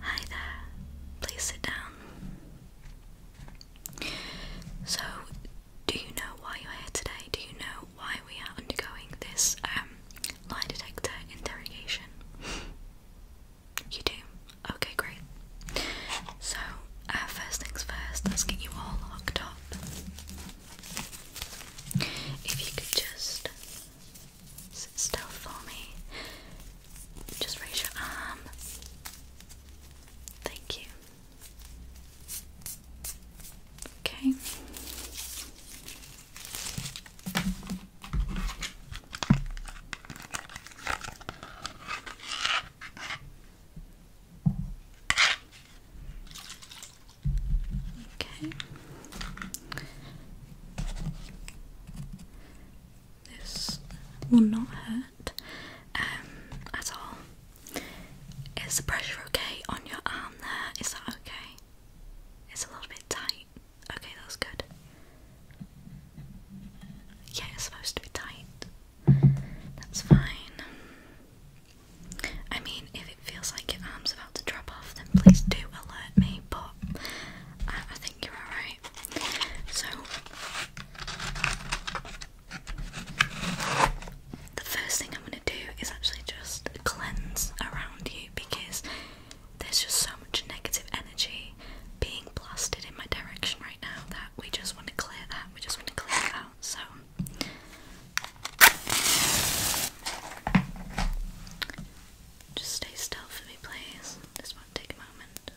Hi there, please sit down. So, do you know why you're here today? Do you know why we are undergoing this um, lie detector interrogation? you do? Okay, great. So, uh, first things first, let's get you all locked up. If you could just Sit still for me. Just raise your arm. Thank you. Okay. Okay. This will not hurt um, at all. Is the pressure okay on your arm there? Is that okay? It's a little bit tight. Okay, that's good. Yeah, it's supposed to be tight. That's fine. I mean, if it feels like your arm's about to drop off, then please do alert me, but I, think you're alright. So, the first thing I'm going to do is actually just cleanse around you because there's just so much negative energy being blasted in my direction right now that we just want to clear that. We just want to clear that. out. So, just stay still for me, please. This won't take a moment.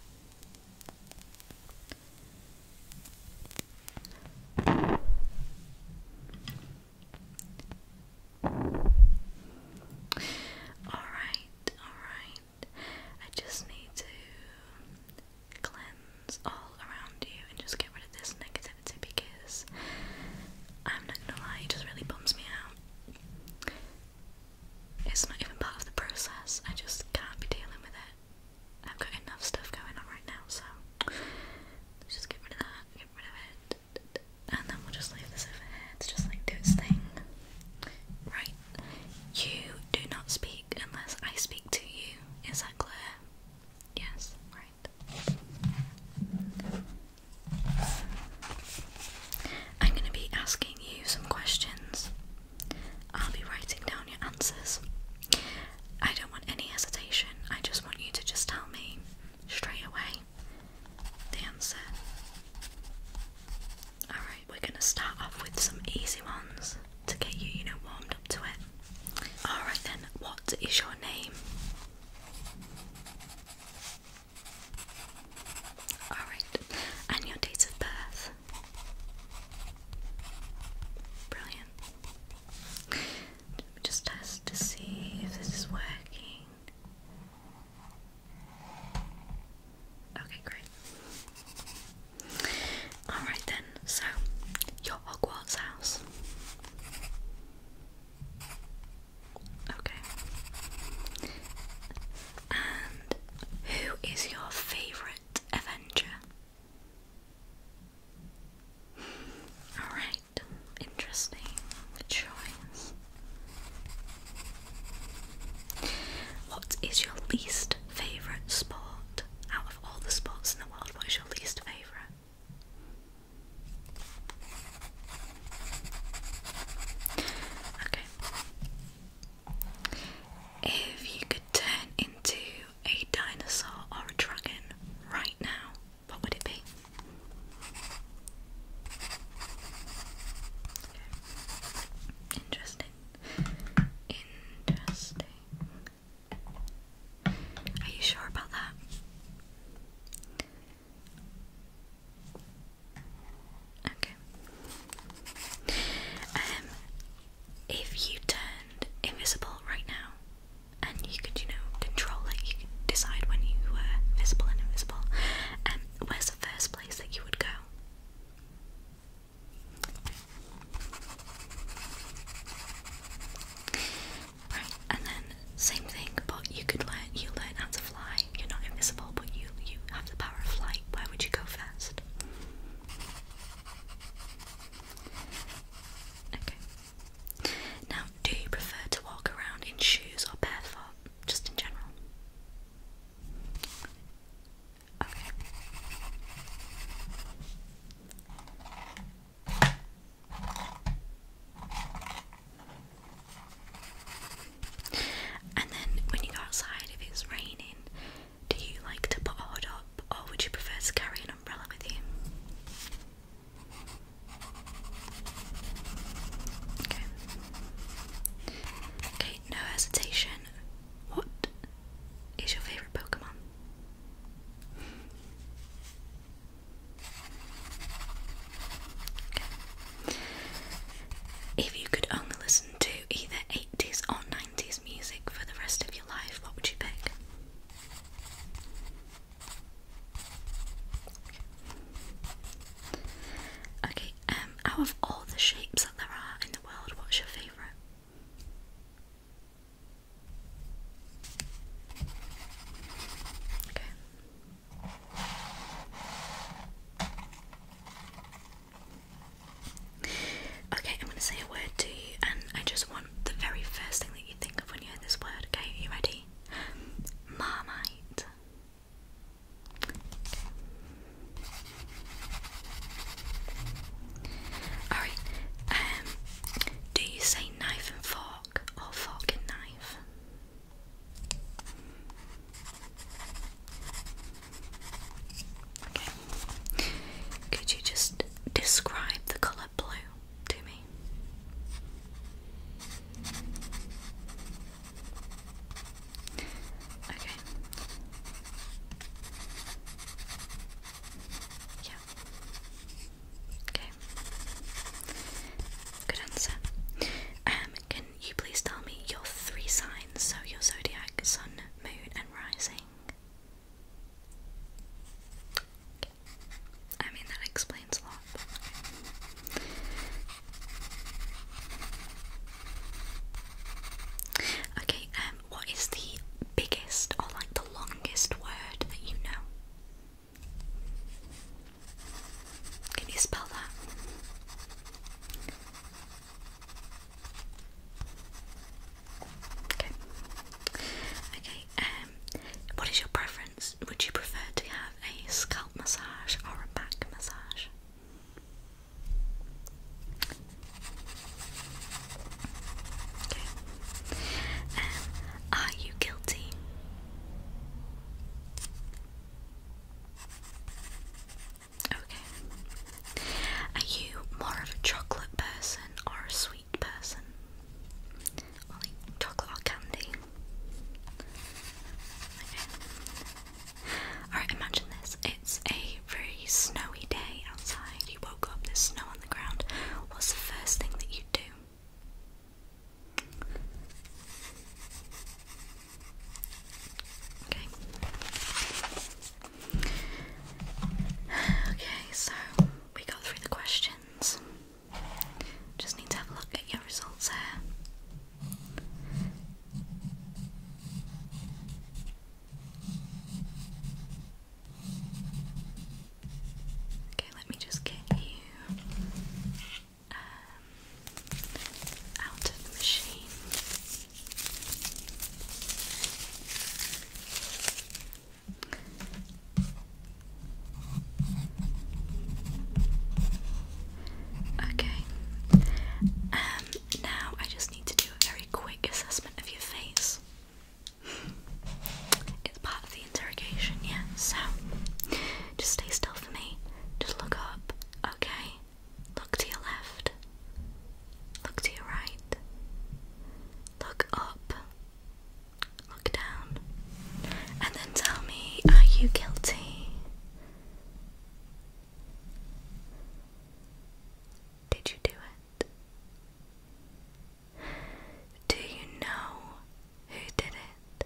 Alright, alright. I just need to cleanse all around you and just get rid of this negativity because I'm not gonna lie, it just really bums me out. It's not even part of the process, I just can't be dealing with it. I've got enough stuff going on right now, so just get rid of that, get rid of it, and then we'll just leave this over here to just like do its thing. Right, you do not speak unless I speak to you. Is that clear? Yes, right. I'm going to be asking you some questions. I'll be writing down your answers. I don't want any hesitation. I just want you to just tell me straight away the answer. Alright, we're going to start off with some easy ones to get you, you know, warmed up to it. Alright then, what is your name? Alright, and your date of birth. Brilliant. Just test to see if this is working. Okay, great. Alright then, so your Hogwarts house. Okay. And who is your favourite Avenger? Alright, interesting choice. What is your least favourite sport? Out of all the sports in the world, what is your least favourite? Okay. If you could turn into a dinosaur or a dragon right now, what would it be? Interesting. Interesting. Are you sure about that? Okay. Um, if you turned invisible right now, and you could, you know, control it, you could decide when you were visible and invisible. Um, where's the first place that you would go? Right, and then same thing, but you could learn you learn how to fly. You're not invisible, but you you have the power of flight. Where would you go first? Okay. Now, do you prefer to walk around in shoes or barefoot, just in general? Okay. And then when you go outside, if it's raining, do you like to put a hood up or would you prefer to carry an umbrella with you? Okay. Okay, no hesitation. What is your favourite Pokemon? If you could only listen to either 80s or 90s music for the rest of your life, what would you pick? Okay, um, out of all the shapes that there are in the world, what's your favourite? Okay. Okay, I'm going to say a word to you, and I just want the very first thing that you think of when you hear this word. Okay, you ready? Marmite. Alright, um, do you say knife and fork or fork and knife? Could you just describe the colour blue to me? Okay. Yeah. Okay. Good answer. Um, you please tell me your three signs? So your zodiac, sun, moon, and rising. I mean, that explains a lot. Okay, um, what is the biggest or like the longest word that you know? Can you spell that? Okay. Okay, um what is your preference? Would you prefer to have a scalp massage or a back massage? Okay. Um, are you guilty? Okay. Are you more of a chocolate person or a sweet person? Or like chocolate candy? Okay. Alright, imagine this. It's a very snowy day outside. You woke up, there's snow on the ground. What's the first thing that you do? Okay. so we got through the questions. Just need to have a look at your results here. Okay, let me just get you um, out of the machine. Okay, um, now I just need to do a very quick assessment of your face. It's part of the interrogation, yeah? So, just stay still for me. Just look up, okay? Look to your left. Look to your right. Look up. Look down. And then tell me, are you guilty? Did you do it? Do you know who did it?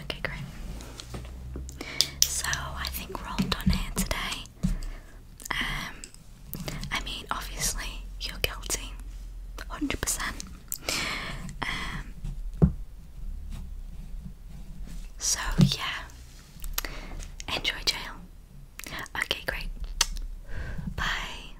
Okay, great. So I think we're all done here today. Um, I mean, obviously you're guilty, hundred percent. Um, so yeah, enjoy jail. Okay, great. Bye.